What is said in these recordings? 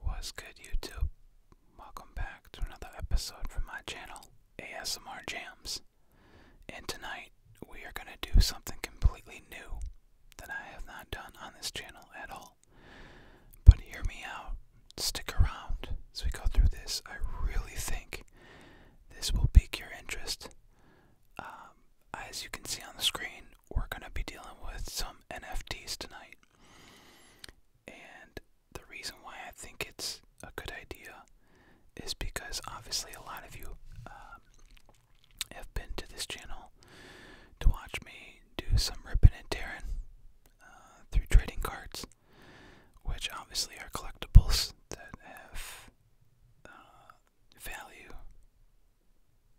What's good, YouTube? Welcome back to another episode from my channel, ASMR Jams. And tonight, we are going to do something completely new that I have not done on this channel at all. But hear me out, stick around as we go through this. I really think this will pique your interest. Um, as you can see on the screen, we're going to be dealing with some NFTs tonight. And the reason why I think it's a good idea is because obviously a lot of you um, have been to this channel to watch me do some ripping and tearing uh, through trading cards, which obviously are collectibles that have uh, value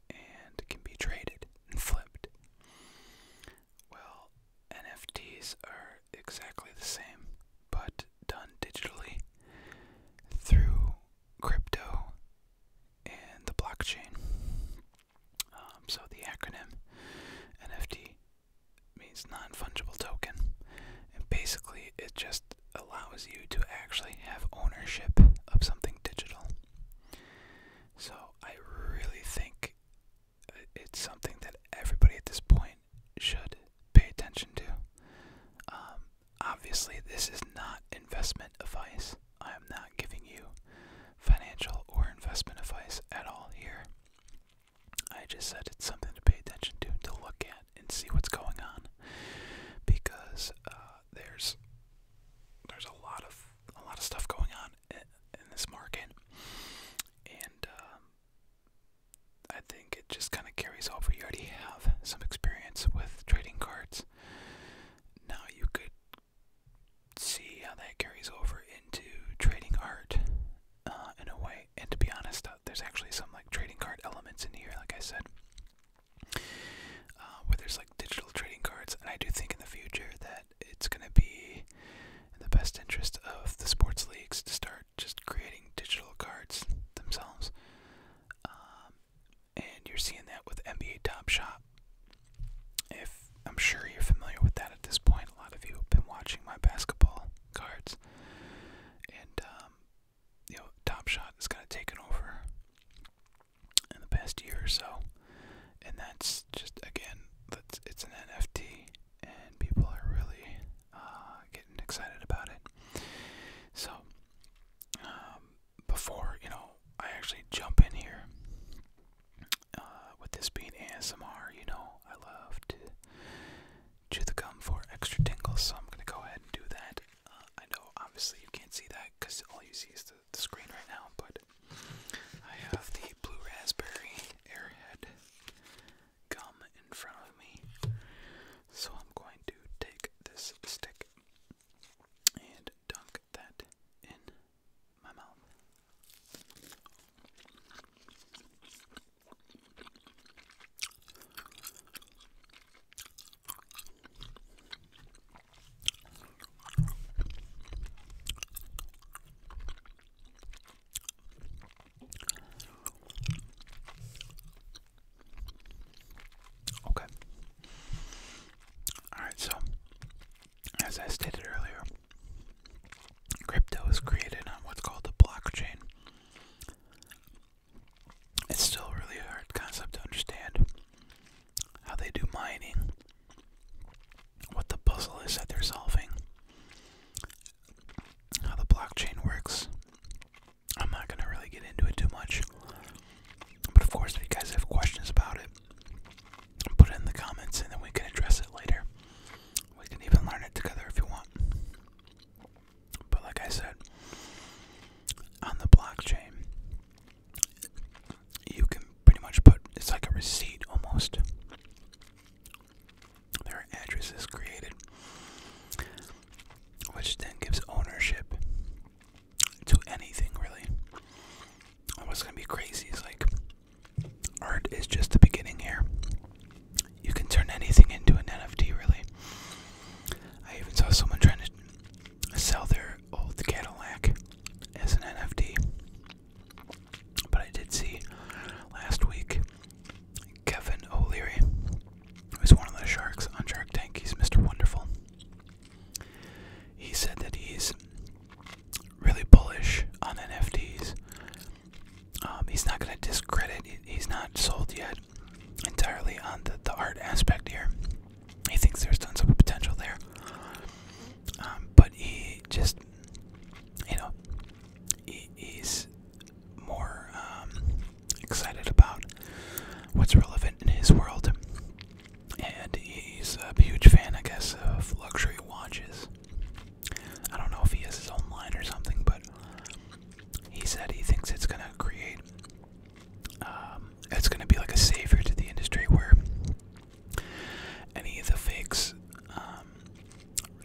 and can be traded and flipped. Well, NFTs are exactly the same, but done digitally through crypto and the blockchain. Um, so the acronym NFT means non fungible token, and basically it just allows you to actually have ownership of something digital. So I really think uh, it's something that everybody at this point should pay attention to. Um, obviously, this is not investment advice. I am not giving you financial or investment advice at all here. I just said it's something to pay attention to, to look at, and see what's going on, because uh, there's there's a lot of a lot of stuff going on in, this market, and um, I think it just kind of carries over. You already have some experience with trading cards. Now you could see how that carries over into trading art uh, in a way. And to be honest, uh, there's actually some like trading card elements in here, like I said. Uh, where there's like digital trading cards. And I do think in the future that it's going to be in the best interest of the sports leagues to start just creating digital cards themselves. Um, and you're seeing that with NBA Top Shop. If I'm sure you're familiar with that at this point, a lot of you have been watching my basketball cards, and um, you know Top Shot has kind of taken over in the past year or so, and that's just again, that's it's an NFT, and people are really uh, getting excited about it. So, um, before you know, I actually jump in here. Uh, with this being ASMR, you know, I love to chew the gum for extra tingles, so I'm gonna go ahead and do that. Uh, I know, obviously, you can't see that because all you see is the screen right now, but I have the Blue Raspberry Airhead gum in front of me. So I'm going to take this stick and dunk that in my mouth. Okay. Alright, so as I stated earlier, crypto is created on what's called a blockchain. It's still really hard concept to understand how they do mining, what the puzzle is that they're solving, how the blockchain works. I'm not going to really get into it too much. But of course, if you guys have questions about it, put it in the comments and then we can address it later. We can even learn it together if you want. But like I said, on the blockchain, you can pretty much put it's like a receipt almost. There addresses created, which then gives ownership to anything really. And what's gonna be crazy is like art is just the beginning here. You can turn anything into an NFT really. I even saw someone trying to sell their old Cadillac as an NFT. But I did see last week Kevin O'Leary, who's one of the sharks on Shark Tank, he's Mr. Wonderful. He said that he's really bullish on NFTs. Um, he's not going to discredit, he's not sold yet entirely on the, the art aspect here. He thinks there's tons of potential there. Um, but he just, you know, he's more um, excited about what's relevant in his world. And he's a huge fan, I guess, of luxury watches. I don't know if he has his own line or something, but he said he thinks it's going to create um, it's going to be like a savior to the industry where any of the fakes, um,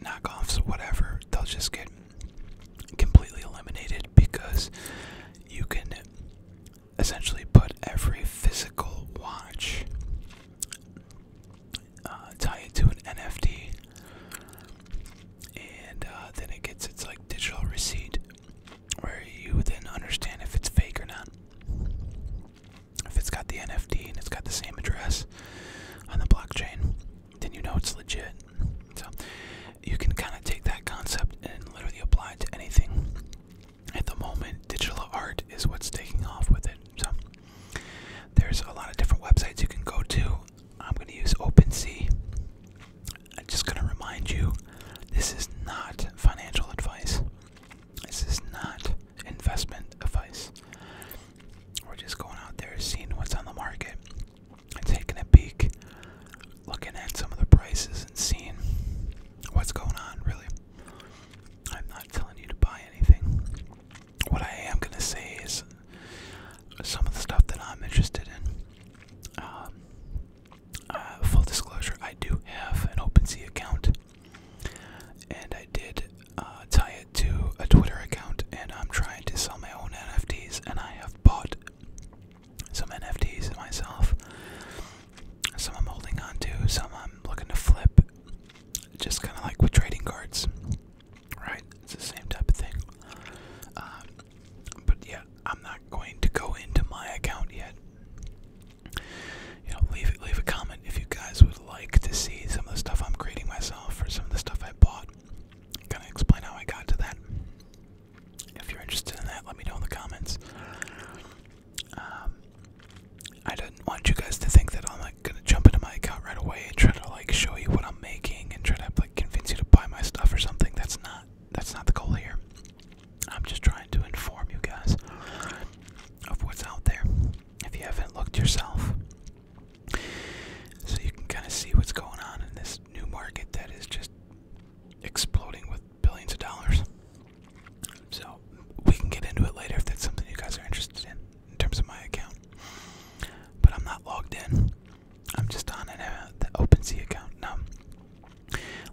knockoffs, whatever, they'll just get completely eliminated because you can essentially put every physical watch, uh, tie it to an NFT, and uh, then it gets its like digital receipt where you then understand if it's fake or not. If it's got the NFT and it's got the same address on the blockchain, then you know it's legit. So you can kind of take that concept and literally apply it to anything. At the moment, digital art is what's taking off with it. So there's a lot of different websites you can go to. I'm going to use OpenSea I'm just going to remind you this is not financial advice. This is not investment advice. We're just going out there, seeing what's on the market, and taking a peek, looking at some of the prices, and seeing what's going on, really. I'm not telling you to buy anything. What I am going to say is some of the stuff that I'm interested in. Um, uh, full disclosure, I do have an OpenSea account, and I did uh, tie it to a Twitter account, and I'm trying to sell my own NFTs, and I have bought some NFTs myself. Some I'm holding on to, some I'm looking to flip, just kind of like with trading cards, right? It's the same type of thing. Um, but yeah, I'm not going to go into my account yet. You know, leave leave a comment if you guys would like to see some of the stuff I'm creating myself or some of the stuff I bought. Gonna explain how I got to that. If you're interested in that, let me know in the comments. Um, I do not want you guys to think that I'm like gonna jump into my account right away and try to like show you what I'm making and try to like convince you to buy my stuff or something. That's not that's not the goal here. I'm just trying to inform you guys of what's out there if you haven't looked yourself. So you can kind of see what's going on in this new market that is just exploding with billions of dollars. So we can get into it later if that's something you guys are interested in, in terms of my account. But I'm not logged in. I'm just on an, uh, open C account. Now,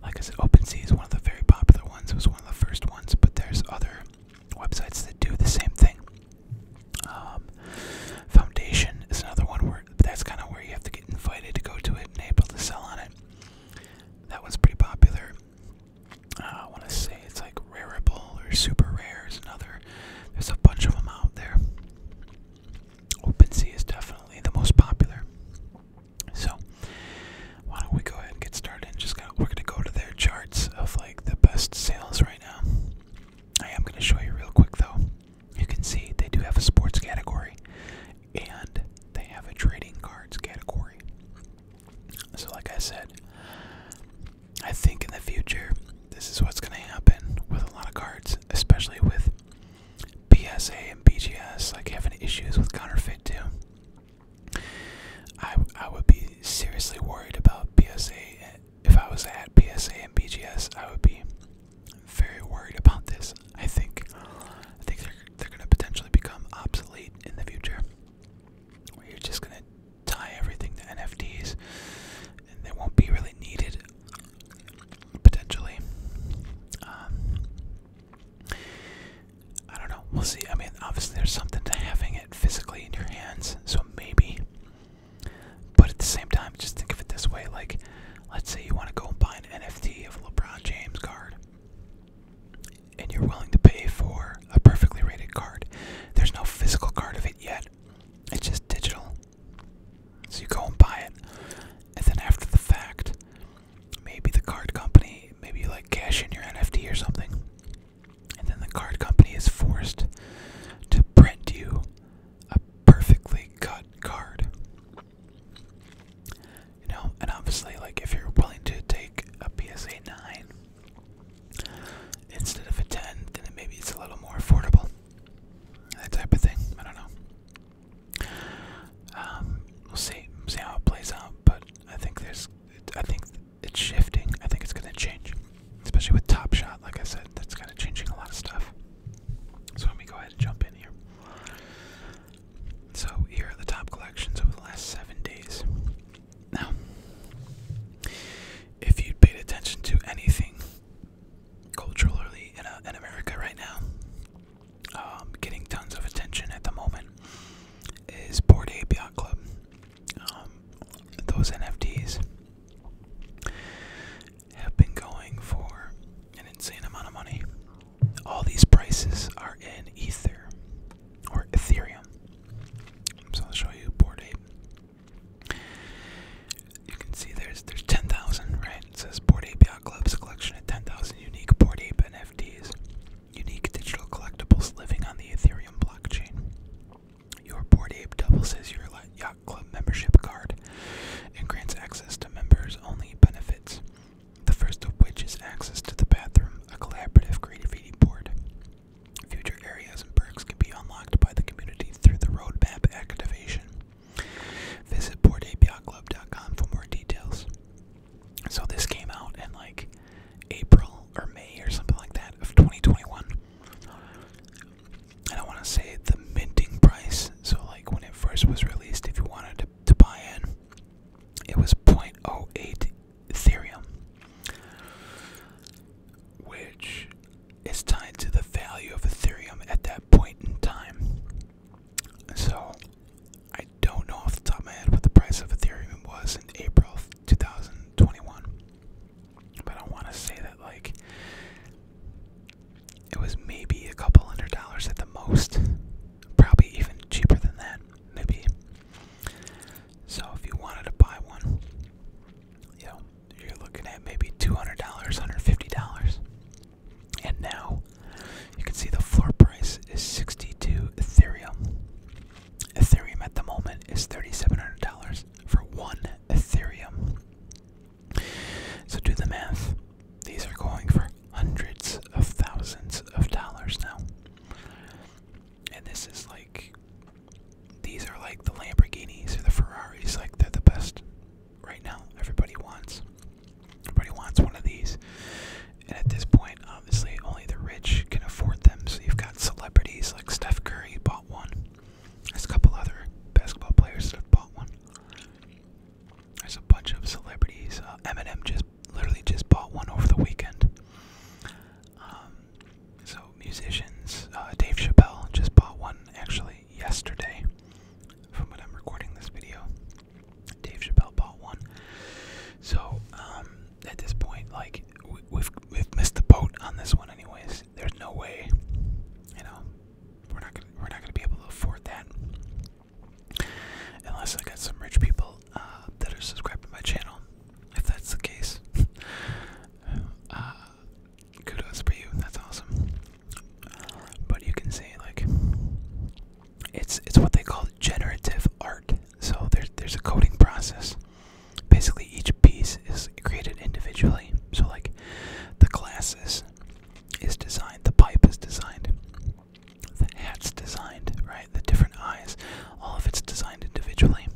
like I said, OpenSea is one of the very popular ones. It was one of the first ones, but there's other websites that do the same thing. Um, Foundation is another one where that's kind of where you have to get invited to go to it and able to sell on it. That one's pretty popular. Uh, I want to say it's like Rareable or Super Rare is another. There's a bunch of them out there. OpenSea is definitely the most popular. So why don't we go ahead and get started? And just going we're gonna go to their charts of like the best sales right now. I am gonna show you real quick though. You can see they do have a sports category, and they have a trading cards category. So like I said, I think in the future this is what's gonna happen with a lot of cards, especially with BSA and BGS, like having issues with counterfeit too. I, I would be seriously worried about BSA. If I was at BSA and BGS, I would be very worried about this. I think I think they're, they're going to potentially become obsolete in the future. Where you're just going to tie everything to NFTs and they won't be really needed potentially. Um, I don't know. We'll see. I mean, obviously, there's something to having it physically in your hands, so maybe. But at the same time, just think of it this way: like, let's say you want to go and buy an NFT of LeBron James card, and you're willing to pay for a perfectly rated card. There's no physical card of it yet; it's just digital. So you go and buy it, and then after the fact, maybe the card company, maybe you like cash in your NFT or something, and then the card company is forced to print you a perfectly cut card. You know, and obviously, like if you're willing to take a PSA 9 instead of a 10, then maybe it's a little more affordable. That type of thing. I don't know. Um, we'll see, see how it plays out. But I think there's, I think it's shifting. I think it's gonna change, especially with Top Shot. Like I said, that's kind of changing a lot of stuff. So let me go ahead and jump in here. So here are the top collections over the last seven days. Now, if you paid attention to anything culturally in uh, America right now, um, getting tons of attention at the moment is Board Ape Club. Um, those NFTs have been going for an insane amount of money. All these prices are in Ether or Ethereum. So I'll show you Board Ape. You can see there's there's ten thousand, right? It says Board Ape Yacht Club's collection of 10,000 unique Board Ape NFTs, unique digital collectibles living on the Ethereum blockchain. Your Board Ape doubles as your Yacht Club membership card and grants access to members only benefits, the first of which is access to the bathroom, a collaborative creativity board. Future areas and perks can be unlocked by the community through the roadmap activation. Visit boardapioclub.com for more details. So this came out in like April or May or something like that of 2021. I don't want to say the minting price, so like when it first was released, if you wanted to, to buy in, it was 0.08 Ethereum, which is tied to the value of Ethereum at that point in time. So, I don't know off the top of my head what the price of Ethereum was in April 2021, but I want to say that, like, it was maybe a couple hundred dollars at the most, probably even cheaper than that, maybe. So, if you wanted to buy one, you know, you're looking at maybe $200, $150. And now you can see the floor price is 62 Ethereum. Ethereum at the moment is $3,700 for one Ethereum. So do the math. These are going for hundreds of thousands of dollars now. And this is like, these are like the Lamborghinis or the Ferraris, like they're the best right now. Everybody wants. Everybody wants one of these. And at this point, obviously, only the rich can afford them. So you've got celebrities like Steph Curry bought one. There's a couple other basketball players that have bought one. There's a bunch of celebrities. Uh, Eminem just literally just bought one over the weekend. Um, so musicians, uh, Dave Chappelle just bought one actually yesterday. From when I'm recording this video, Dave Chappelle bought one. So um, at this point, like we, have we've missed the boat on this one, anyways. There's no way, you know, we're not we're not gonna be able to afford that unless I got some rich people uh, that are subscribed to my channel. If that's the case, uh, kudos for you. That's awesome. But you can see like it's it's what they call generative art. So there's there's a coding process. Basically each piece is created individually. So like the glasses is designed, the pipe is designed, the hat's designed, right? The different eyes, all of it's designed individually.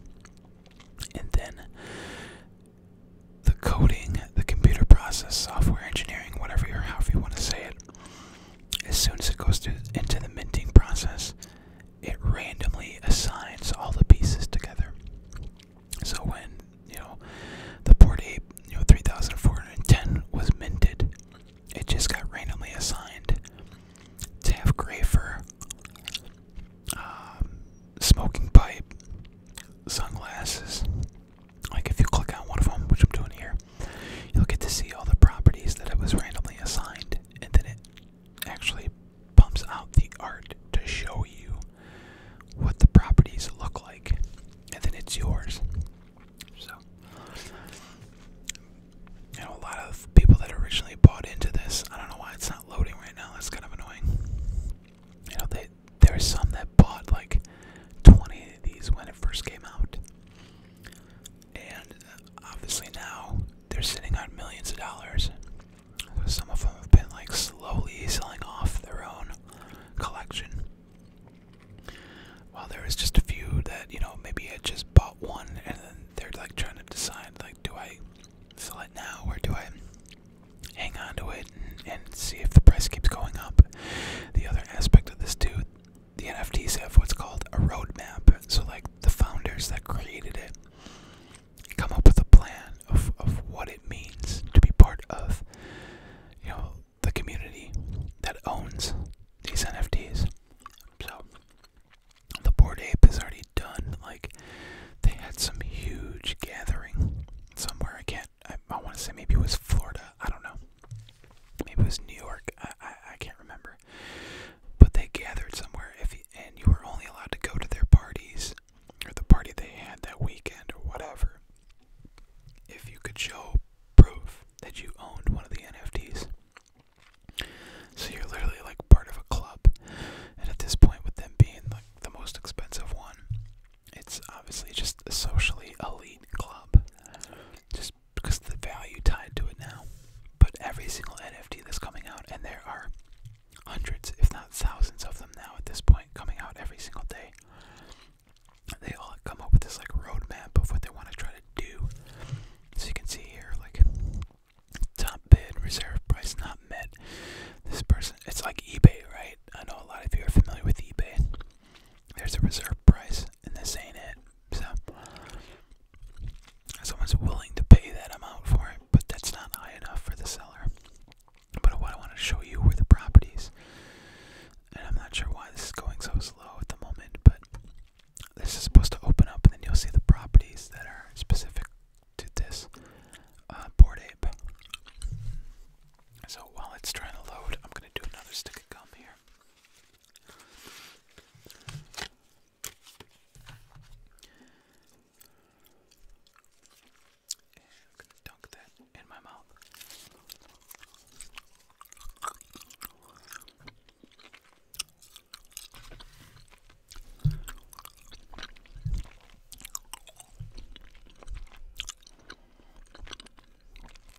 And then the coding, the computer process, software engineering, whatever you however you want to say it, as soon as it goes through, into the minting process, it randomly assigns all the pieces together. So when you know the port you know, 3,410 was minted, it just got randomly assigned to have gray um, smoking pipe, sunglasses, like if you click on one of them, which I'm doing here, you'll get to see all the properties that it was randomly assigned, and then it actually pumps out the art to show you what the properties look like, and then it's yours. So, you know, a lot of people that originally bought into this, I don't know why it's not loading right now. That's kind of annoying. You know, they, there are some that bought like 20 of these when it first came out. And uh, obviously now they're sitting on millions of dollars. Some of them have been like slowly selling off their own collection. While there is just a few that, you know, maybe I just bought one and then they're like trying to decide like do I sell it now or do I hang on to it and, and see if the price keeps going up. The other aspect of this too the NFTs have what's called a roadmap. So, like the founders that created it come up with a plan of, of what it means to be part of, you know, the community that owns these NFTs. So, the board ape has already done. Like, they had some huge gathering somewhere. I can't forget. I, I want to say maybe it was Florida. I don't know. Maybe it was New York. I, I, I can't remember. But they gathered somewhere, if you, and you were only allowed to go to their parties or the party they had that weekend or whatever, if you could show proof that you owned one of the NFTs. So you're literally like part of a club, and at this point, with them being like the most expensive one, it's obviously just a socially elite club, just because of the value tied to it now. But every single NFT that's coming out, and there are hundreds, if not thousands, of them now at this point, coming out every single day. They all come up with this like roadmap of what they want to try to do. So you can see here, like top bid, reserve price not met. This person, it's like eBay, right? I know a lot of you are familiar with eBay there's a reserve price, and this ain't it. So, someone's willing to pay that amount for it, but that's not high enough for the seller. But what I want to show you were the properties, and I'm not sure why this is going so slow at the moment, but this is supposed to open up, and then you'll see the properties that are specific to this uh, board ape. So while it's trying to load, I'm going to do another stick of gum here. And I'm going to dunk that in my mouth.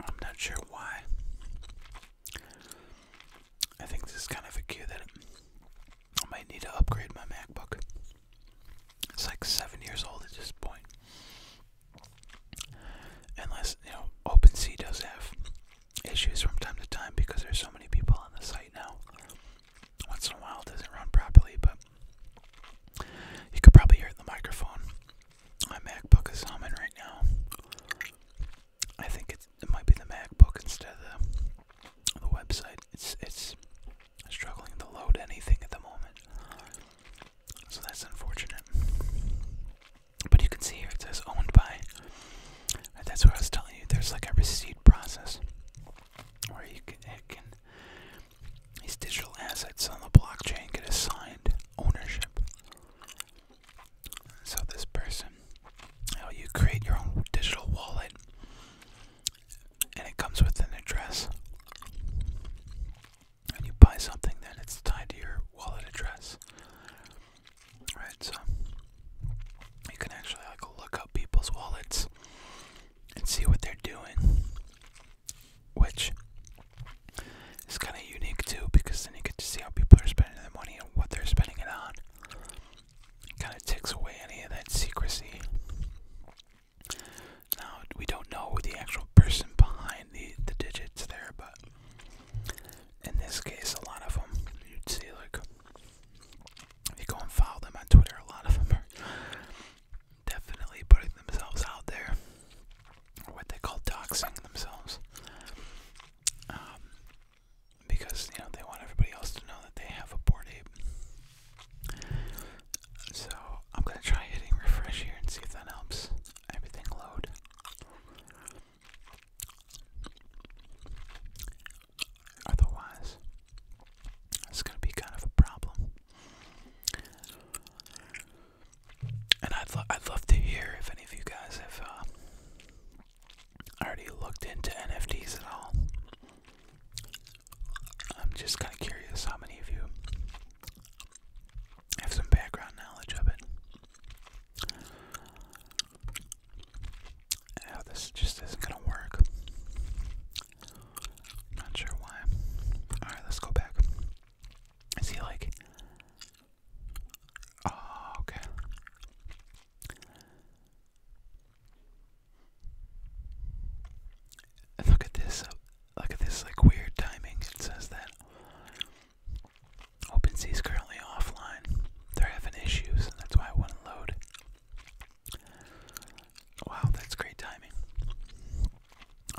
I'm not sure why. I think this is kind of a cue that I might need to upgrade my MacBook. It's like seven years old at this point. Unless, you know, OpenSea does have issues from time to time because there's so many people on the site now. Once in a while it doesn't run properly, but you could probably hear the microphone my MacBook is humming right now. I think it might be the MacBook instead of the, website. It's it's struggling to load anything at the moment, so that's unfortunate. But you can see here it says owned by. That's what I was telling you. There's like a receipt process where you can, it can these digital assets on the blockchain get assigned ownership. So this person, you, create your own digital wallet, and it comes with an address. And you buy something, then it's tied to your wallet address. Right, so you can actually like look up people's wallets and see what they're doing which is kind of unique too because then you get to see how people are spending their money and what they're spending it on. Kind of takes away any of that secrecy. Now we don't know the actual person behind the the digits there, but in this case, a lot of them you'd see like if you go and follow them on Twitter, a lot of them are definitely putting themselves out there what they call doxing themselves, um, because you know they want everybody else to know that they have a board ape. So I'm gonna try hitting refresh here and see if that helps everything load. Otherwise, it's gonna be kind of a problem. And I'd, I'd love to hear if any of you guys have um, already looked into NFTs at all. I'm just kind of curious how many of you have some background knowledge of it. Oh, this just isn't going to work. Not sure why. Alright, let's go back. I see, like, Oh, okay. look at this. Uh, look at this, like, weird timing. It says that OpenSea is currently offline. They're having issues, and that's why I want to load. Wow, that's great timing.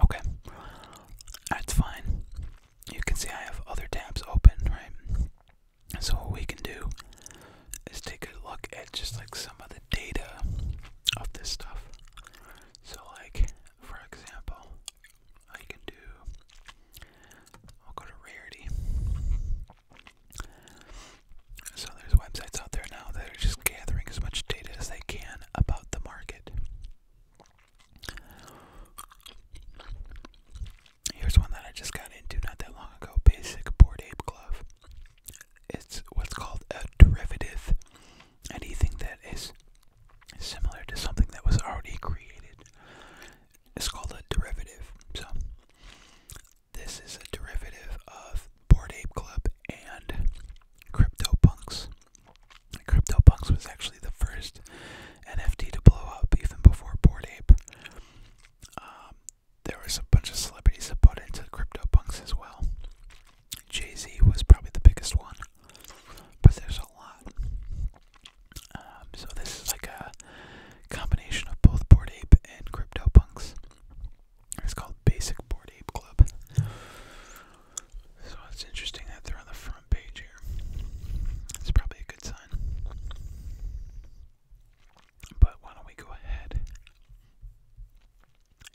Okay. That's fine you can see I have other tabs open, right? So what we can do is take a look at just like some of the data of this stuff. So like for example, I can do I'll go to rarity. So there's websites out there now that are just gathering as much data as they can about the market. Here's one that I just got into not that long ago. Basic board ape glove. It's what's called a derivative. Anything that is similar to something that was already created is called a derivative. So this is a derivative of Board Ape glove and crypto punks. CryptoPunks was actually the first NFT to blow up, even before Bored Ape. Um, there was a bunch of celebrities that bought into CryptoPunks as well. Jay Z was probably the biggest one, but there's a lot. Um, so this is like a combination of both Bored Ape and CryptoPunks. It's called Basic Board Ape Club. So it's interesting that they're on the front page here. It's probably a good sign. But why don't we go ahead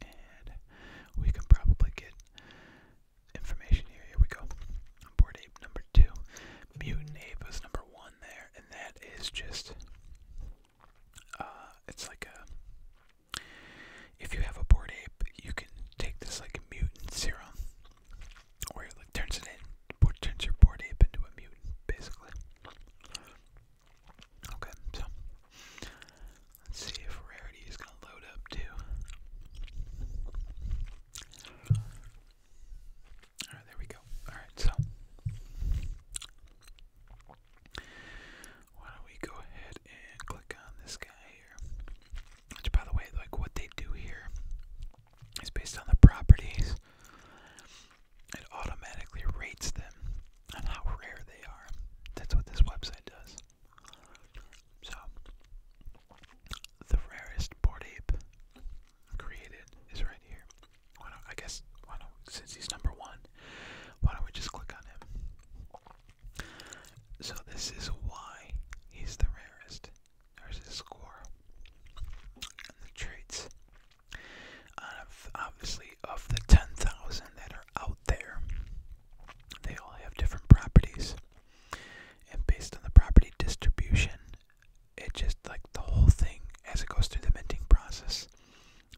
and we can probably get information here. Here we go. Board ape number two. Mutant ape was number one there, and that is just uh, it's like a if you have a board ape, you can take this like mutant serum where turns it in, turns your board ape into a mutant, basically. Okay, so let's see if rarity is gonna load up too. Alright, there we go. Alright, so why don't we go ahead and click on this guy? Which, by the way, like what they do here is based on the properties. It automatically rates them on how rare they are. That's what this website does. So, the rarest board ape created is right here. Why don't I guess? Why don't since he's number one? Why don't we just click on him? So this is why he's the rarest. There's a score. And the traits. Of, obviously, of the 10,000 that are out there, they all have different properties. And based on the property distribution, it just like the whole thing as it goes through the minting process.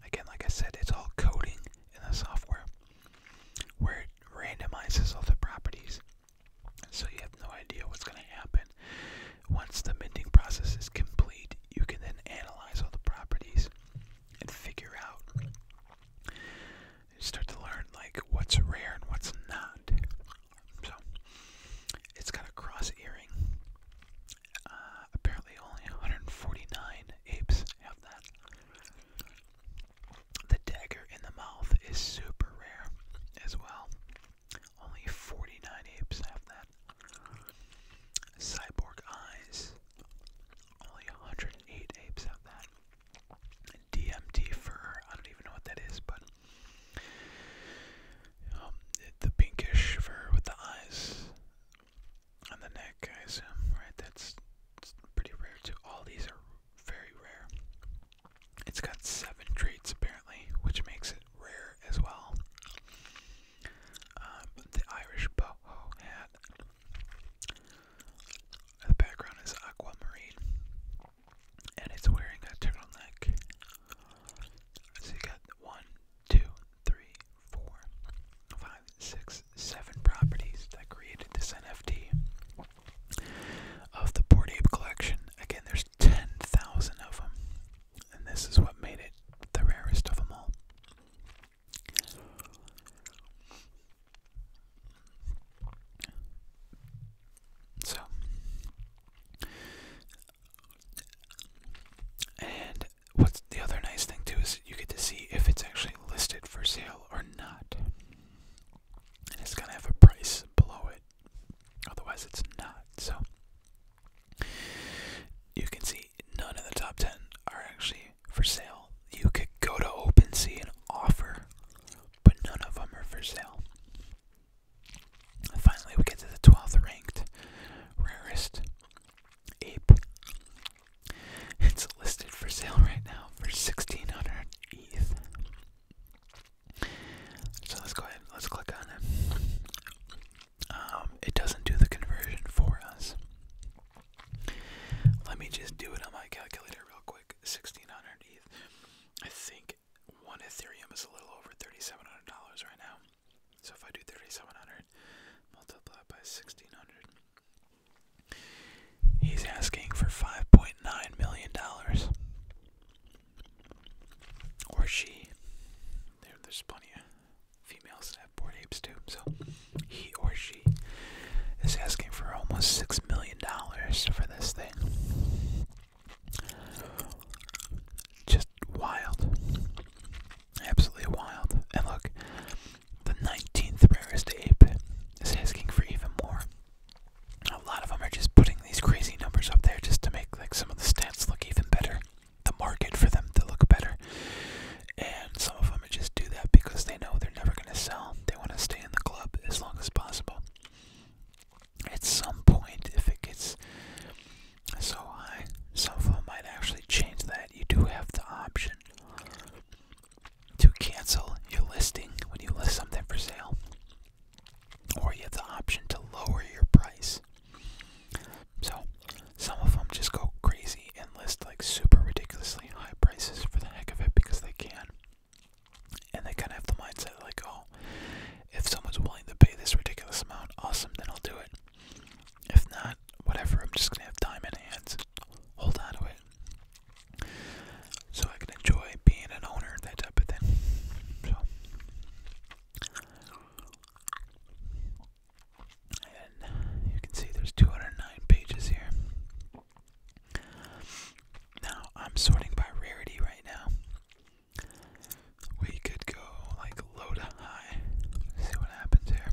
Again, like I said, it's all coding in the software where it randomizes all the properties so you have no idea what's going to happen. Once the minting process is complete, you can then analyze all the properties and figure out. You start to learn like what's rare and what's not. So it's got a cross earring. Uh, apparently, only 149 apes have that. The dagger in the mouth is super rare as well. Only 49 apes have that. Cyborg eyes. Only 108 apes have that. DMT fur. I don't even know what that is, but um, the pinkish fur with the eyes on the neck, I assume, right? That's pretty rare too. All these are very rare. It's got seven traits apparently, which makes it rare as well. Um, the Irish boho hat. The background is aquamarine, and it's wearing a turtleneck. So you got one, two, three, four, five, six, seven properties that created this NFT of the Port Ape collection. Again, there's 10,000 of them, and this is what made it the rarest of them all. So, and what's the other nice thing too is you get to see if it's actually listed for sale or not and it's gonna have a price below it. Otherwise, it's not. So you can see none of the top ten are actually for sale. You could go to OpenSea and offer, but none of them are for sale. Finally, we get to the twelfth ranked rarest ape. It's listed for sale right now for sixteen hundred ETH. So let's go ahead. Let's click on it. Um, it doesn't do the conversion for us. Let me just do it on my calculator real quick. 1600 I think one Ethereum is a little over $3,700 right now. So if I do 3,700 multiplied by 1,600, He's asking for $5.9 million. Or she. there's plenty of females that have board apes too. So he or she is asking for almost $6 million for this thing. Just wild. Absolutely wild. And look, the 19th rarest ape is asking for even more a lot of them are just putting these crazy numbers up there just to make like some of the stats look even better, the market for them to look better. And some of them just do that because they know they're never going to sell. They want to stay in the club as long as possible. At some point, if it gets so high, some of them might actually change that. You do have the option to cancel your listing when you list something for sale, or you have the option to lower your price. So, some of them just go crazy and list like super ridiculously high prices for the heck of it because they can. And they kind of have the mindset like, oh, if someone's willing to pay this ridiculous amount, awesome, then I'll do it. If not, whatever, I'm just gonna have time in hands. Hold on to it so I can enjoy being an owner, that type of thing. So, and you can see there's 209 pages here. Now I'm sorting by rarity right now. We could go like low to high. see what happens here.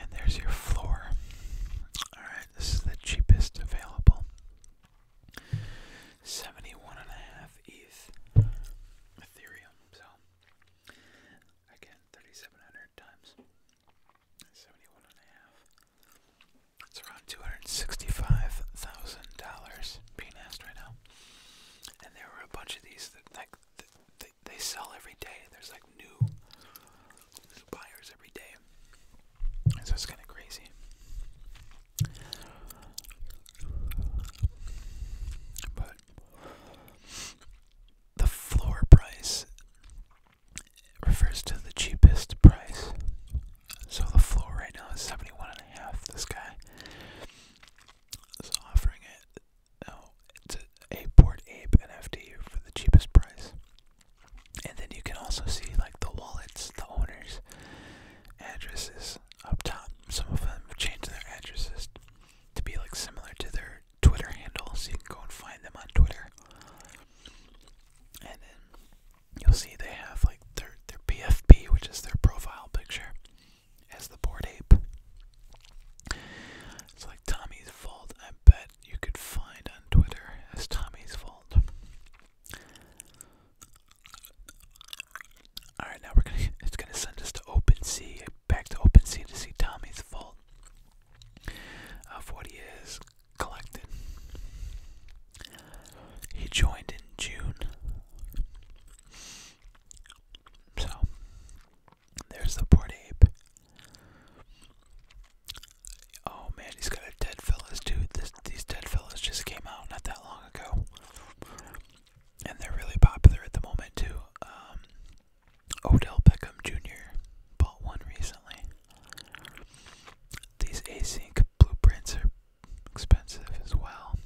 And there's your floor. Alright, this is the cheapest available. 71 and ETH Ethereum. So again, 3,700 times 71 It's around $265,000 being asked right now. And there were a bunch of these that like they, sell every day. There's like new, buyers every day. so it's kind of crazy. But the floor price refers to the cheapest price. So the floor right now is seventy one and a half. This guy is offering it no, it's a, a Port Ape NFT for the cheapest price. And then you can also see like the wallets, the owners' addresses up top. Some of them have changed their addresses to be like similar to their Twitter handle, so you can go and find them on Twitter. And then you'll see they have like their their PFP, which is their profile picture, as the port ape. It's like Tommy's fault. I bet you could find on Twitter as Tommy's Fault. Alright, now we're gonna it's gonna send us to Open OpenSea, back to Open OpenSea to see Tommy's fault of what he has collected. He joined in June. So there's the port ape. Oh man, he's got a dead fellas too. these dead fellas just came out not that long ago, and they're really popular at the moment too. Um, Odell Beckham Jr. bought one recently. These async blueprints are expensive as well.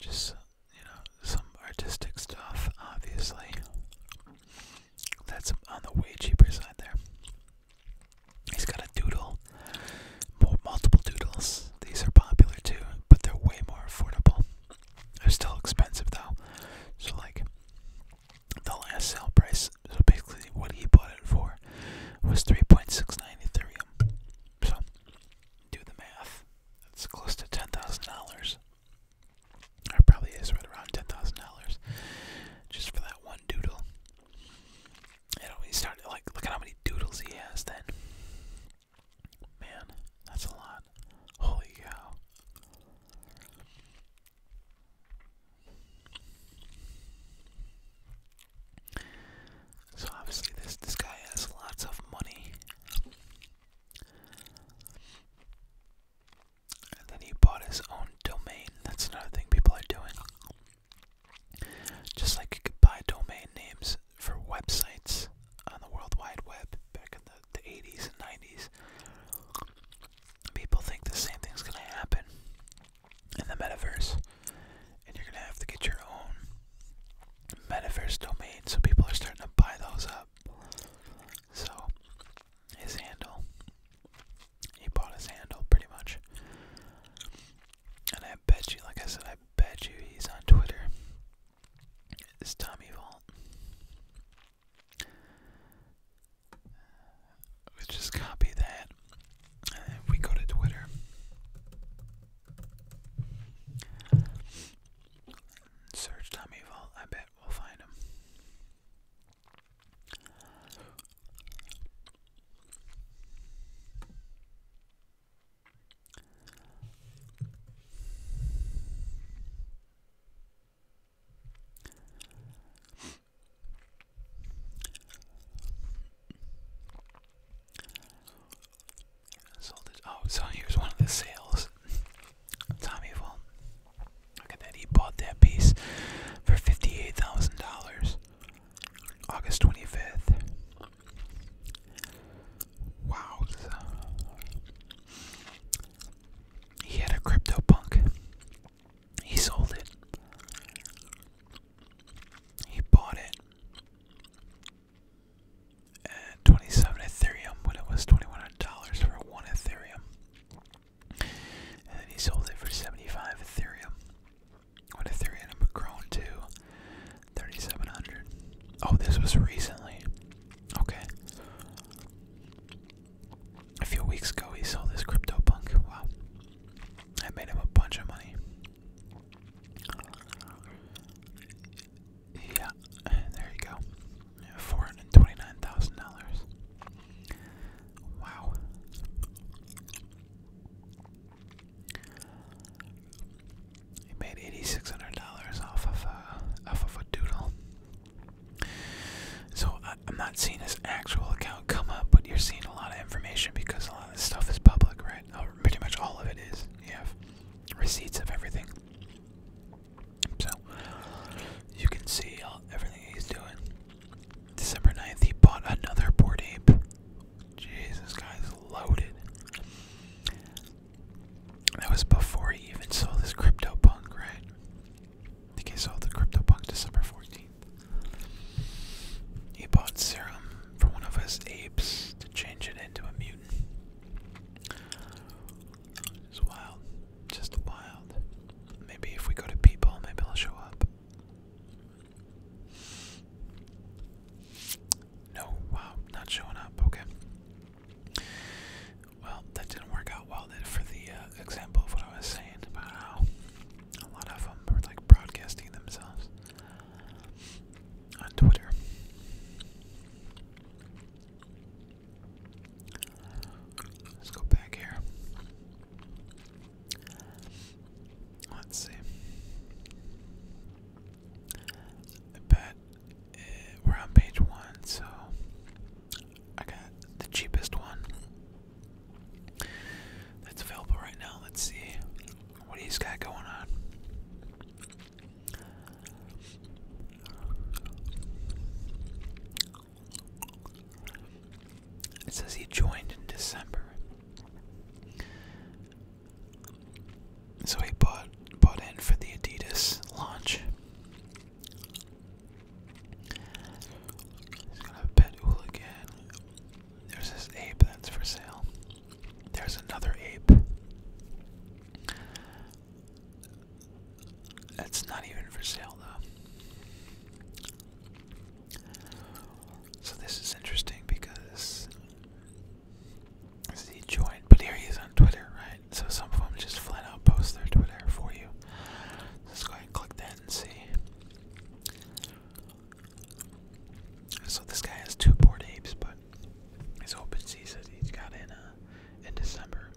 Just you know, some artistic stuff, obviously. That's on the way cheaper side there. He's got a doodle, multiple doodles. These are popular too, but they're way more affordable. They're still expensive though. So, like, the last sale price, so basically what he bought it for, was 3.69 Ethereum. do the math. That's close to $10,000. Or probably is right around ten thousand dollars just for that one doodle. It always started like look at how many doodles he has then. Man, that's a lot. Holy cow. So obviously this this guy has lots of money. And then he bought his own domain. That's another thing people are doing. Just like you could buy domain names for websites on the World Wide Web back in the, 80s and 90s, people think the same thing's going to happen in the metaverse. And you're going to have to get your own metaverse domain. So people are starting to buy those up. So his handle, he bought his handle pretty much. And I bet you, like I said, I bet you he's on Twitter. It's Tommy Vault. We just copy that. And we go to Twitter, search Tommy Vault. I bet we'll find him. Sold it. Oh, so here's one of the sales. Tommy Vaughan. Look at that. He bought that piece for fifty-eight thousand dollars. August twenty-fifth. Wow. Uh, he had a crypto punk. He sold it. He bought it and 27 Ethereum when it was $2100 for one Ethereum. And then he sold it for 75 Ethereum. When Ethereum i had grown to 3700. Oh, this was recently. Okay. A few weeks ago, he sold this crypto punk. Wow. I made him a bunch of money. Yeah, there you go. Four hundred twenty-nine thousand dollars. Wow. He made eighty-six hundred dollars off of a uh, off of a doodle. So I, am not seeing his actual account come up, but you're seeing a lot of information because a lot of this stuff is public, right? Oh, pretty much all of it is. You have receipts of everything. So you can see everything he's doing. December 9th, he bought another board ape. Jeez, this guy's loaded. That was before he even sold this crypto punk, right? I think he sold the crypto punk December 14th. He bought serum for one of his apes to change it into a mutant. It's wild. Just wild. Maybe if we go to people, maybe I'll show up. No, wow, not showing up, okay. Well, that didn't work out well for the uh, example of what I was saying about a lot of them were like broadcasting themselves on Twitter. Let's go back here. Let's see. I bet eh, we're on page one, so I got the cheapest one that's available right now. Let's see what he's got going on. It says he joined in December. So he bought bought in for the Adidas launch. He's gonna pet again. There's this ape that's for sale. There's another ape. That's not even for sale though. So this is interesting because he joined, but here he's on Twitter, right? So some of them just flat out post their Twitter for you. Let's go ahead and click that and see. So this guy has two board apes, but his open season he's got in uh, in December.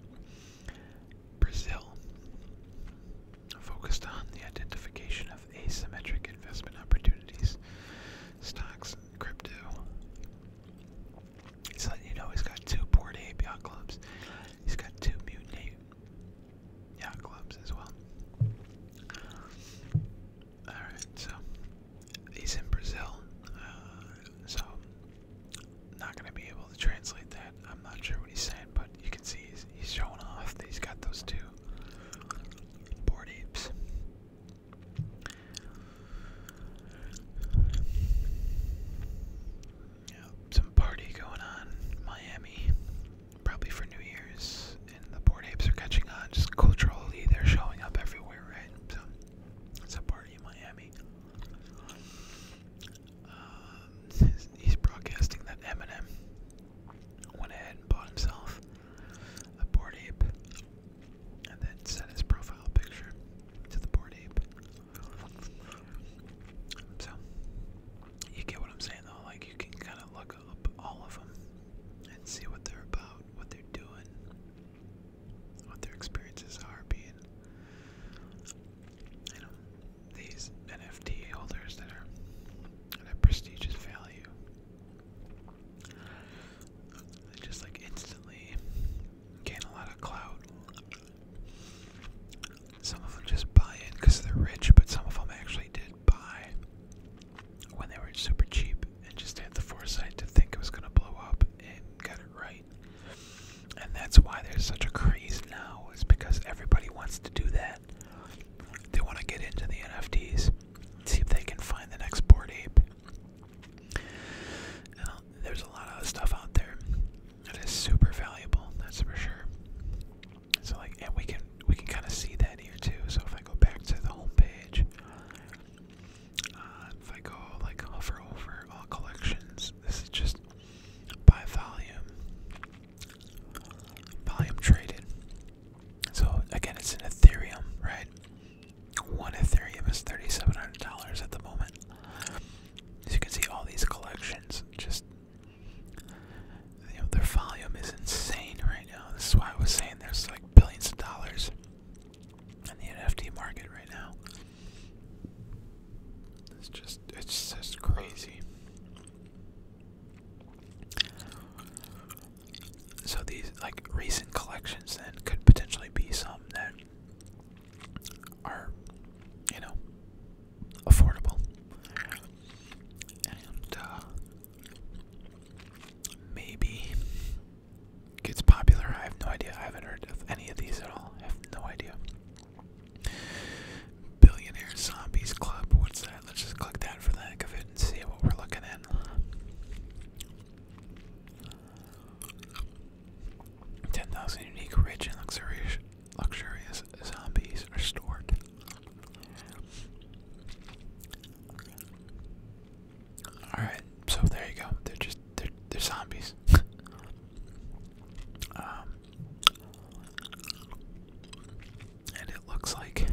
Brazil focused on the identification of asymmetric investment opportunities, stocks, crypto. He's letting you know he's got two Port Ape yacht clubs. He's got two mutant yacht clubs as well. Alright, so he's in Brazil, uh, so not gonna be able to translate that. I'm not sure what he's saying, but you can see he's, he's showing off he's got those two board apes. Yeah, some party going on in Miami, probably for New Year's, and the board apes are catching on. Just culturally, they're showing up everywhere, right? So, it's a part in Miami. Um, he's broadcasting that Eminem went ahead and bought himself a board ape and then sent his profile picture to the board ape. So, you get what I'm saying though? Like, you can kind of look up all of them and see what they're about, what they're doing, what their experiences are being, you know, these NFT holders that are at a prestigious value. They just like instantly gain a lot of clout. Some of them just buy in because they're rich, but some of them actually did buy when they were super cheap and just had the foresight to think it was going to blow up and got it right right? And that's why there's such a craze now, is because everybody wants to do that. They want to get into the NFTs, see if they can find the next board ape. Now, there's a lot of stuff out there that is super valuable, that's for sure. So like, and we can we can kind of see that here too. So if I go back to the home page, uh, if I go like hover over all collections, this is just by volume, volume traded. So again, it's an Ethereum, right? One Ethereum is thirty-seven hundred dollars at the moment. As you can see, all these collections just. You know, their volume is insane right now. This is why I was saying there's like billions of dollars in the NFT market right now. It's just, it's just crazy. So these like recent collections then could potentially be some that are, you know, affordable and uh, maybe gets popular. I have no idea. I haven't heard of any of these at all. I have no idea. Billionaire Zombies Club. What's that? Let's just click that for the heck of it and see what we're looking at. Ten thousand unique, rich, and luxurious, luxurious zombies are stored. All right, so there you go. They're just they're they're zombies. um, and it looks like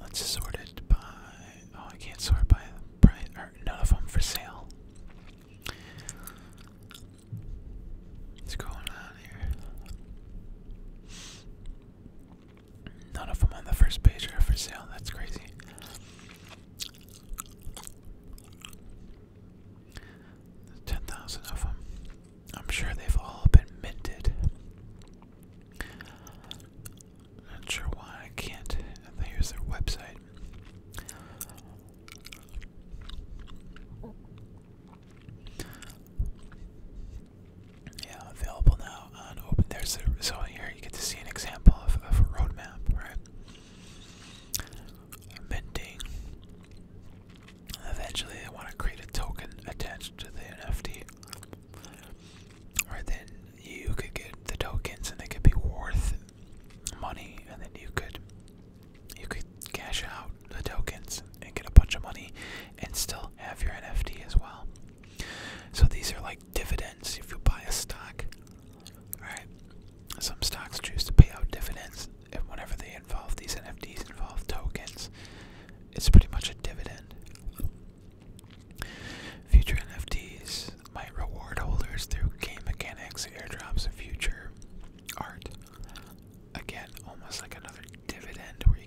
let's sort it by. Oh, I can't sort by price. Or none of them for sale. What's going on here? None of them on the first page are for sale. That's crazy. Ten thousand of them. I'm sure they've all been minted. Not sure why I can't. Here's their website yeah, available now on There's so here you get to see an example of, a roadmap, right? Eventually, I want to create a token attached to the NFT. Right then, you could get the tokens, and they could be worth money, and then you could you could cash out the tokens and get a bunch of money, and still have your NFT as well. So these are like dividends if you buy a stock. Right? Some stocks choose to pay out dividends and whenever they involve these NFTs involve tokens. It's pretty much a dividend. Future NFTs might reward holders through game mechanics, airdrops, and future art. Again, almost like another dividend where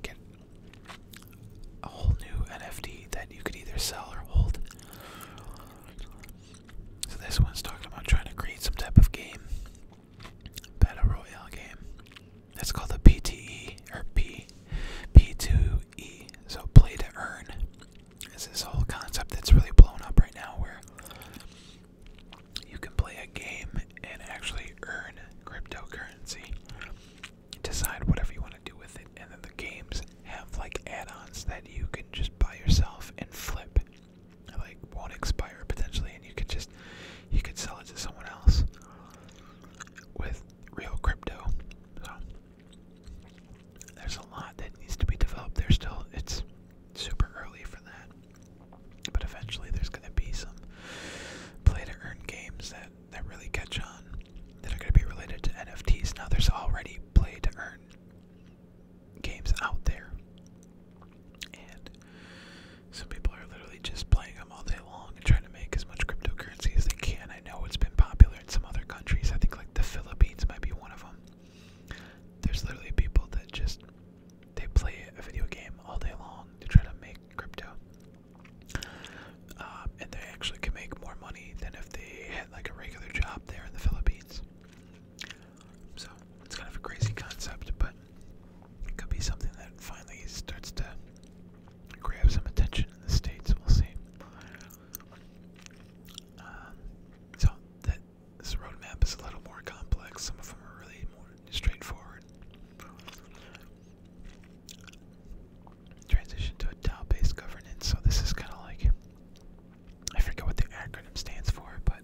a whole new NFT that you could either sell or hold. So this one's talking about trying to create some type of game, battle royale game. That's called the PTE or P P2E. So play to earn. Is this whole concept that's really blown up right now, where you can play a game and actually earn cryptocurrency decide whatever you want to do with it. And then the games have like add-ons that you can just buy yourself and flip. Like won't expire potentially, and you could just you could sell it to someone else with real crypto. So there's a lot that needs to be developed. There's still it's super early for that. But eventually there's gonna be some play to earn games that that really catch on that are going to be related to NFTs. Now, there's already play to earn games out there, and some people are literally just playing them all day long and trying to make as much cryptocurrency as they can. I know it's been popular in some other countries. I think like the Philippines might be one of them. There's literally people that just they play a video game all day long to try to make crypto. Um, and they actually can make more money than if they had like a regular job there in the Philippines. So it's kind of a crazy concept, but it could be something that finally starts to grab some attention in the States. We'll see. Um, so that this roadmap is a little more complex. Some of them are really more straightforward. Transition to a DAO-based governance. So this is kind of like I forget what the acronym stands for, but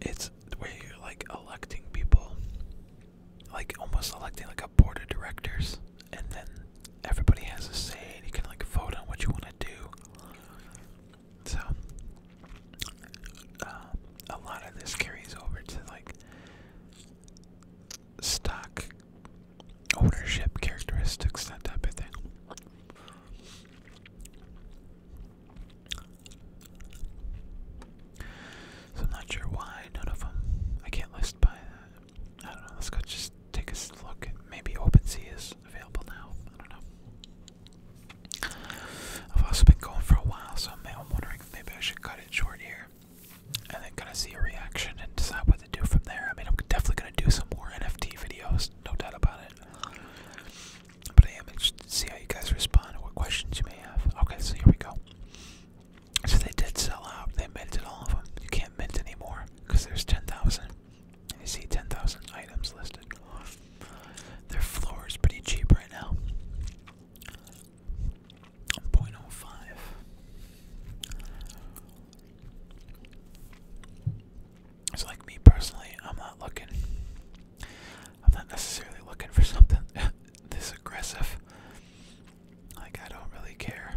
it's where you're like electing people, like almost electing like a board of directors, and then everybody has a say, and you can like vote on what you want to do. So um, a lot of this carries over to like stock ownership characteristics, that type of thing. So I'm not sure why none of them. I can't list by I don't know. Let's go just take a look. Maybe OpenSea is available now. I don't know. I've also been going for a while, so I'm wondering maybe I should cut it short here and then kind of see a reaction and decide what to do from there. I mean, I'm definitely gonna do some more NFT videos, no doubt about it. But I am interested to see how you guys respond and what questions you may have. Okay, so here we go. So they did sell out. They minted all of them. You can't mint anymore because there's 10,000. You see 10,000 items listed. Their floor is pretty cheap right now. 0.05. It's like me personally, I'm not looking. I'm not necessarily looking for something this aggressive. Like, I don't really care.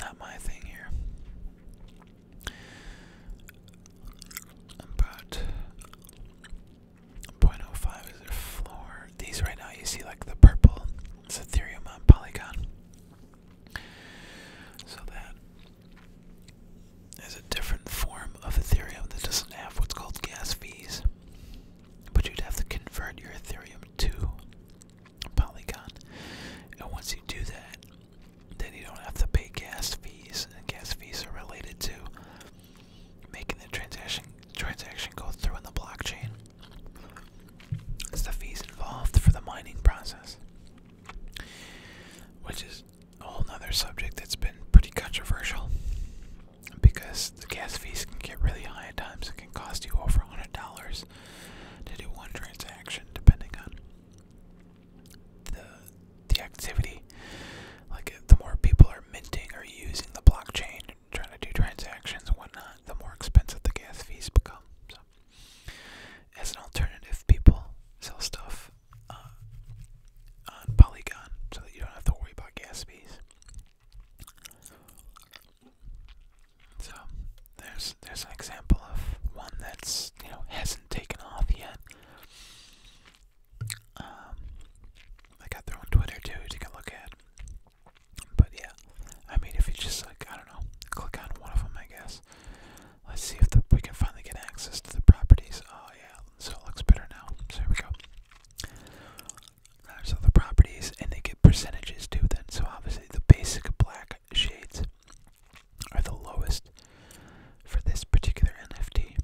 Not my thing here. But 0.05 is the floor. These right now, you see, like the purple it's Ethereum on Polygon. So that is a different form of Ethereum that doesn't have what's called gas fees. But you'd have to convert your Ethereum to Polygon. And once you do that, then you don't have to pay gas fees. And gas fees are related to making the transaction transaction go through in the blockchain the fees involved for the mining process, which is a whole other subject that's been pretty controversial because the gas fees can get really high at times. It can cost you over $100 to do one transaction, depending on the, the activity. Like, the more people are minting or using the blockchain trying to do transactions and whatnot, the more expensive the gas fees become. So, as an alternative, people sell stuff uh, on Polygon so that you don't have to worry about gas fees. So there's there's an example of one that's you know hasn't taken off yet. Um, I got their own Twitter too to look at. But yeah, I mean, if you just like, I don't know, click on one of them, I guess. Let's see if we can finally get access to the properties. Oh yeah, so it looks better now. So here we go. There's all the properties, and they get percentages too. Then, so obviously the basic black shades are the lowest for this particular NFT.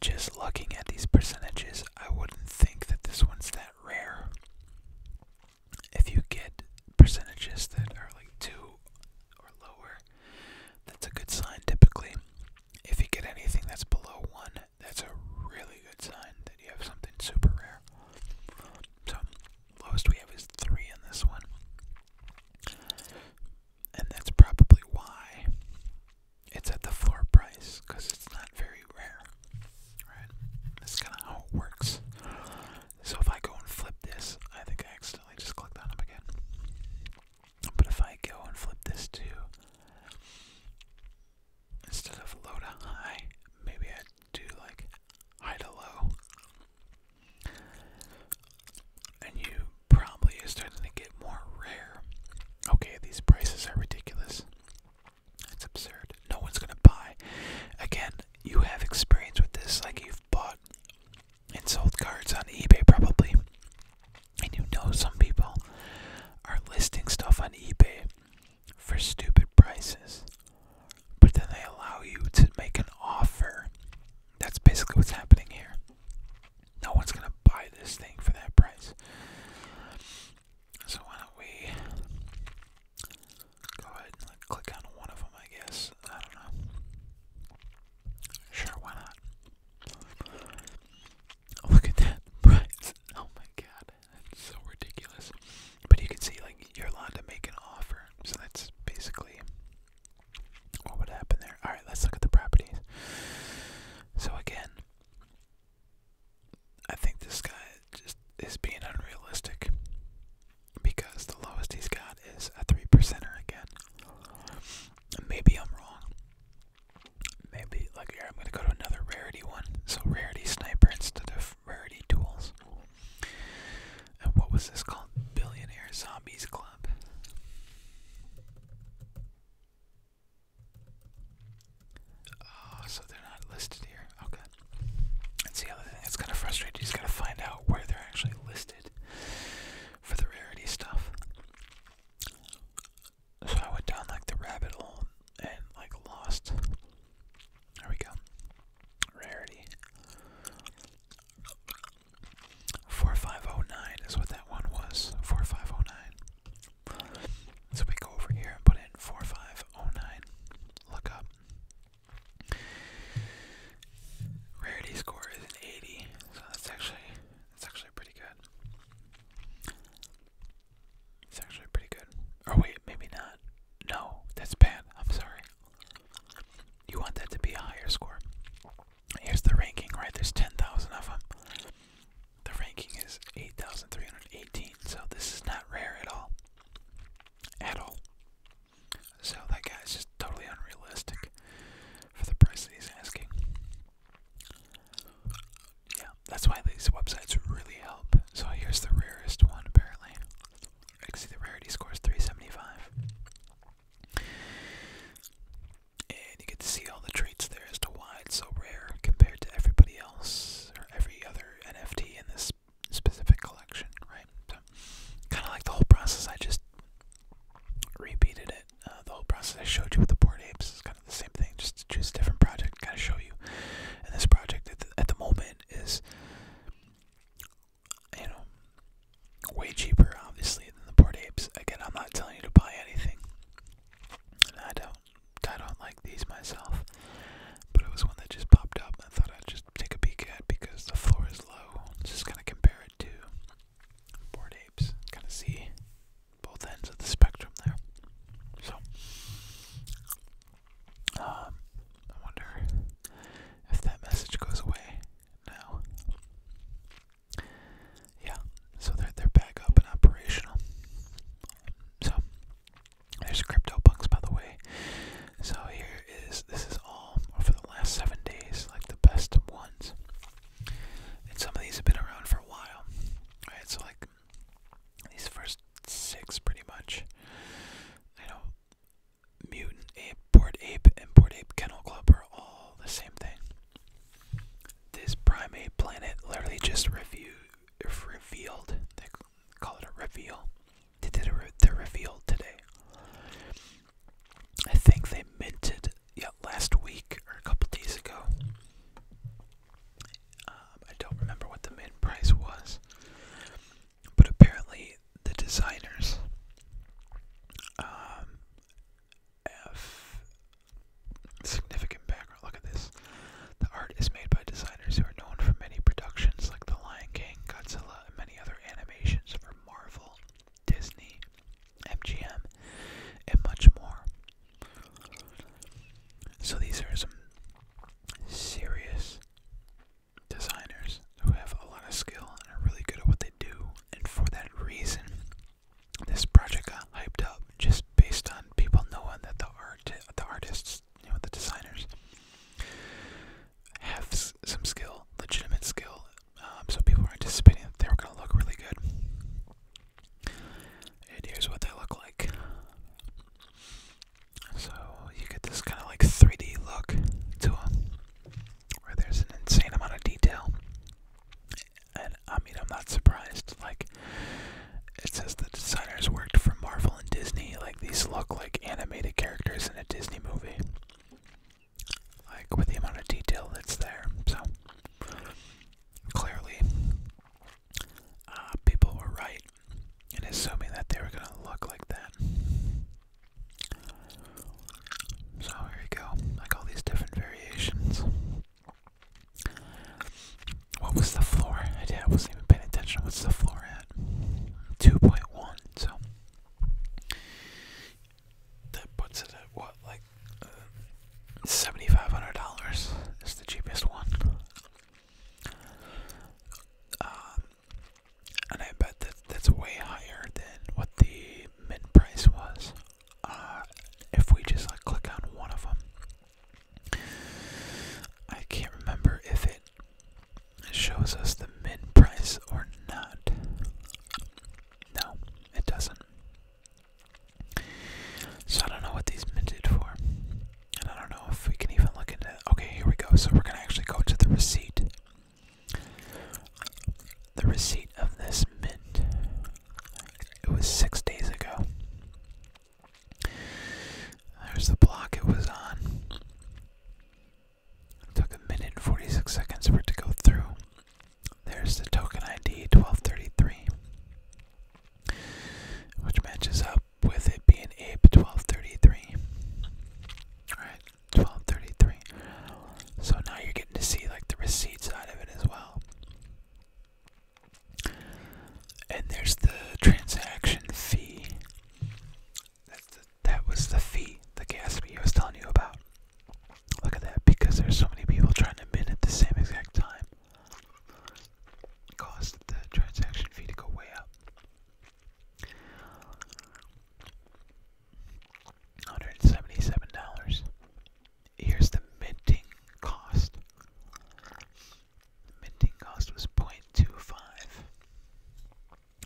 Just looking at these percentages, I wouldn't think that this one's that that rare. If you get percentages that are like 2 or lower, that's a good sign typically. If you get anything that's below 1, that's a really good sign that you have something super rare. So, lowest we have is 3 in this one. And that's probably why it's at the floor price, because it's not not very rare. Right? That's kind of how it works. So if I go and flip this, I think I accidentally just clicked on them again. But if I go and flip this too, instead of low to high, maybe I do like high to low. And you probably are starting to get more rare. Okay, these prices are ridiculous. It's absurd. No one's gonna buy. Again, you have experience with this, like you've bought and sold cards on eBay probably. And you know some people are listing stuff on eBay for stupid prices. But then they allow you to make an offer. That's basically what's happening here. No one's gonna buy this thing for that price. So why don't we go ahead and click on one of them, I guess. I don't know. Sure, why not? Oh, look at that price. Oh my god. That's so ridiculous. But you can see, like, you're allowed to make an offer. So that's basically what would happen there. Alright, let's look at the properties. So again, I think this guy just is being unrealistic because the lowest he's got is a three percenter again. Maybe I'm wrong. Maybe like here I'm gonna go to another rarity one. So rarity sniper instead of rarity tools. And what was this called? Billionaire Zombies Club. Oh, so they're not listed here. Okay. That's the other thing. that's kind of frustrating. You just gotta find out where they're actually listed for the rarity stuff. So I went down like the rabbit hole and like lost. There we go. Rarity. 4509 is what that one was. 4509. So we go over here and put in 4509. Look up. Rarity score is an 80, so that's actually that's actually pretty good. It's actually pretty good. Oh wait, maybe not. No, that's bad. I'm sorry. You want that to be a higher score. Here's the ranking, right? There's 10,000 of them the ranking is 8,318, so this is not rare at all. At all. So that guy is just totally unrealistic for the price that he's asking. Yeah, that's why these websites really help. So here's the rarest one, apparently. can see the rarity score is 375. And you get to see all the traits there as to why it's so rare compared to everybody else, for every other NFT in this specific collection, right? So, kind of like the whole process, I just repeated it. Uh, the whole process I showed you with the Bored Apes is kind of the same thing, just to choose a different project, kind of show you. And this project at the, at the moment is, you know, way cheaper, obviously, than the Bored Apes. Again, I'm not telling you to buy anything. I don't. I don't like these myself, but it was one that just popped up. I thought I'd just take a peek at because the floor is low. Just kind of compare it to board apes. Kind of see both ends of the spectrum there. So, um, I wonder if that message goes away now. Yeah, so they're they're back up and operational. So there's crypto bucks by the way. So here is this is all for the last seven days, like the best ones. And some of these have been around for a while, right? So like these first six, pretty much. You know, Mutant Ape, Port Ape, and Port Ape Kennel Club are all the same thing. This Primate Planet literally just reviewed if revealed. They call it a reveal. They did a they the reveal today. I think they minted yeah last week or a couple days ago. Um, I don't remember what the mint price was, but apparently the designers um, Significant background. Look at this. The art is made by designers who are known for many productions like The Lion King, Godzilla, and many other animations for Marvel, Disney, MGM, and much more. So these are some serious designers who have a lot of skill and are really good at what they do, and for that reason, this project got hyped up just based on people knowing that the art, the artists, you know, the designers have some skill, legitimate skill. Um, so people were anticipating that they were going to look really good. And here's what they look like. So you get this kind of like 3D look to them, where there's an insane amount of detail. And I mean, I'm not surprised. Like it says the designers worked for Marvel and Disney. Like these look like animated characters in a Disney movie. Like with the amount of detail that's there. So clearly uh, people were right in assuming that they were going to look like that. So here you go. Like all these different variations. What was the floor? I did. I wasn't even paying attention. What's the floor at? Two point one. So that puts it at what, like uh, seventy five hundred dollars is the cheapest one. Um, and I bet that that's way higher than what the mid price was. Uh, if we just like click on one of them, I can't remember if it shows us the mid price or not. No, it doesn't. So I don't know what these minted for. And I don't know if we can even look into it. Okay, here we go. So we're going to actually go to the receipt. The receipt of this mint. It was six days ago. There's the block it was on. took a minute 46 seconds for it to go through. There's the token ID 1233, which matches up with it being ape 1233. Alright, 1233. So now you're getting to see like the receipt side of it as well. And there's the transaction fee. that was the fee, the gas fee I was telling you about. Look at that, because there's so many people trying to mint at the same exact time. It caused the transaction fee to go way up. $177. Here's the minting cost. The minting cost was 0.25,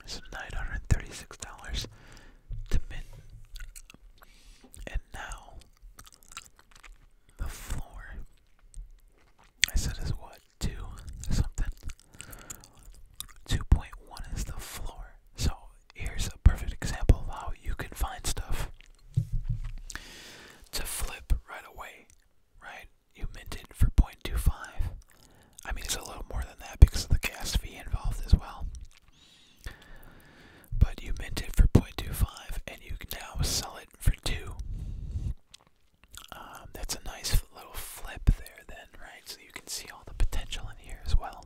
So $936 to mint. And now the floor I said is what? Two something. 2.1 is the floor. So here's a perfect example of how you can find stuff to flip right away right? You minted for 0.25. I mean, it's a little more than that because of the gas fee involved as well. But you minted for 0.25 and you can now sell it for 2. Um, that's a nice little flip there, then, right? So you can see all the potential in here as well.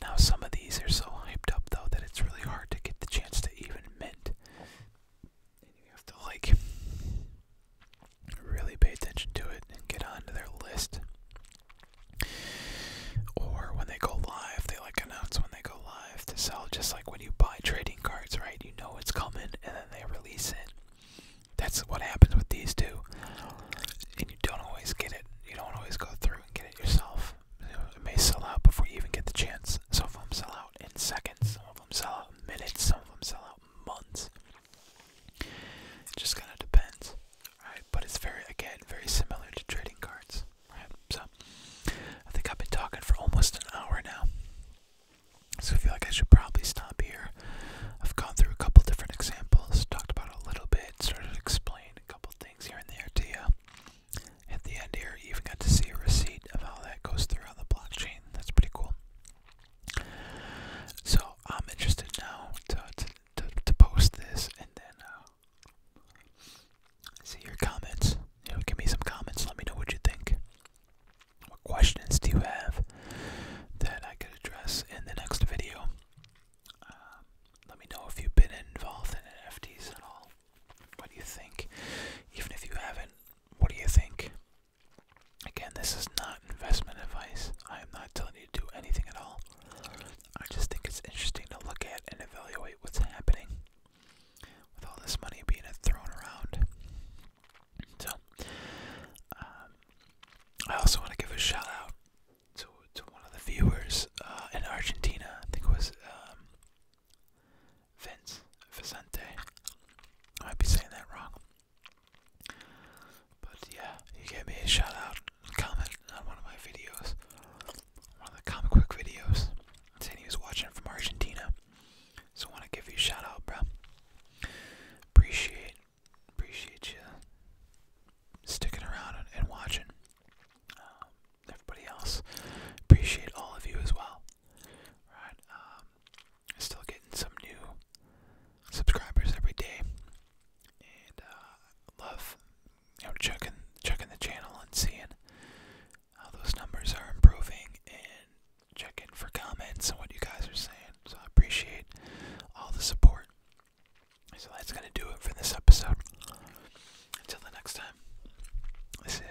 Now, some of these are so hyped up, though, that it's really hard to get the chance to even mint and you have to like really pay attention to it and get onto their list. Or when they go live, they like announce when they go live to sell, just like when you buy trading cards, right? You know it's coming and then they release it. That's what happens with these two. And you don't always get it, you don't always go through and get it yourself. it may sell out before you even get the chance. So if I'm sell out in seconds, some of them sell out minutes, some of them sell out months. It just kind of depends, right? But it's very, again, very similar to trading cards, right? So I think I've been talking for almost an hour now. So I feel like I should probably stop here. I've gone through a couple different examples, talked about a little bit, started to explain a couple things here and there to you. At the end here, you even got to see a receipt of how that goes through on the blockchain. That's pretty cool. So I'm interested now to to, post this and then uh, see your comments. You know, give me some comments. Let me know what you think. What questions do you have that I could address in the next video? Um, let me know if you've been involved in NFTs at all. What do you think? Even if you haven't, what do you think? Again, this is not investment advice. I am not telling you to do anything at all. I just think it's interesting to look at and evaluate what's happening with all this money being thrown around. So, um, I also want to give a shout out to, to one of the viewers uh, in Argentina. I think it was um, Vince Vicente. I might be saying that wrong. But yeah, you gave me a shout out comment on one of my videos. One of the comic book videos. Saying he was watching from Argentina. So I wanna give you a shout out, bro. Appreciate appreciate you sticking around and, watching. Um, everybody else. Appreciate all of you as well. Right, um, still getting some new subscribers every day, and uh, love you know checking checking the channel and seeing how those numbers are improving and checking for comments and what you guys are saying. So I appreciate all the support. So that's gonna do it for this episode. Until the next time, this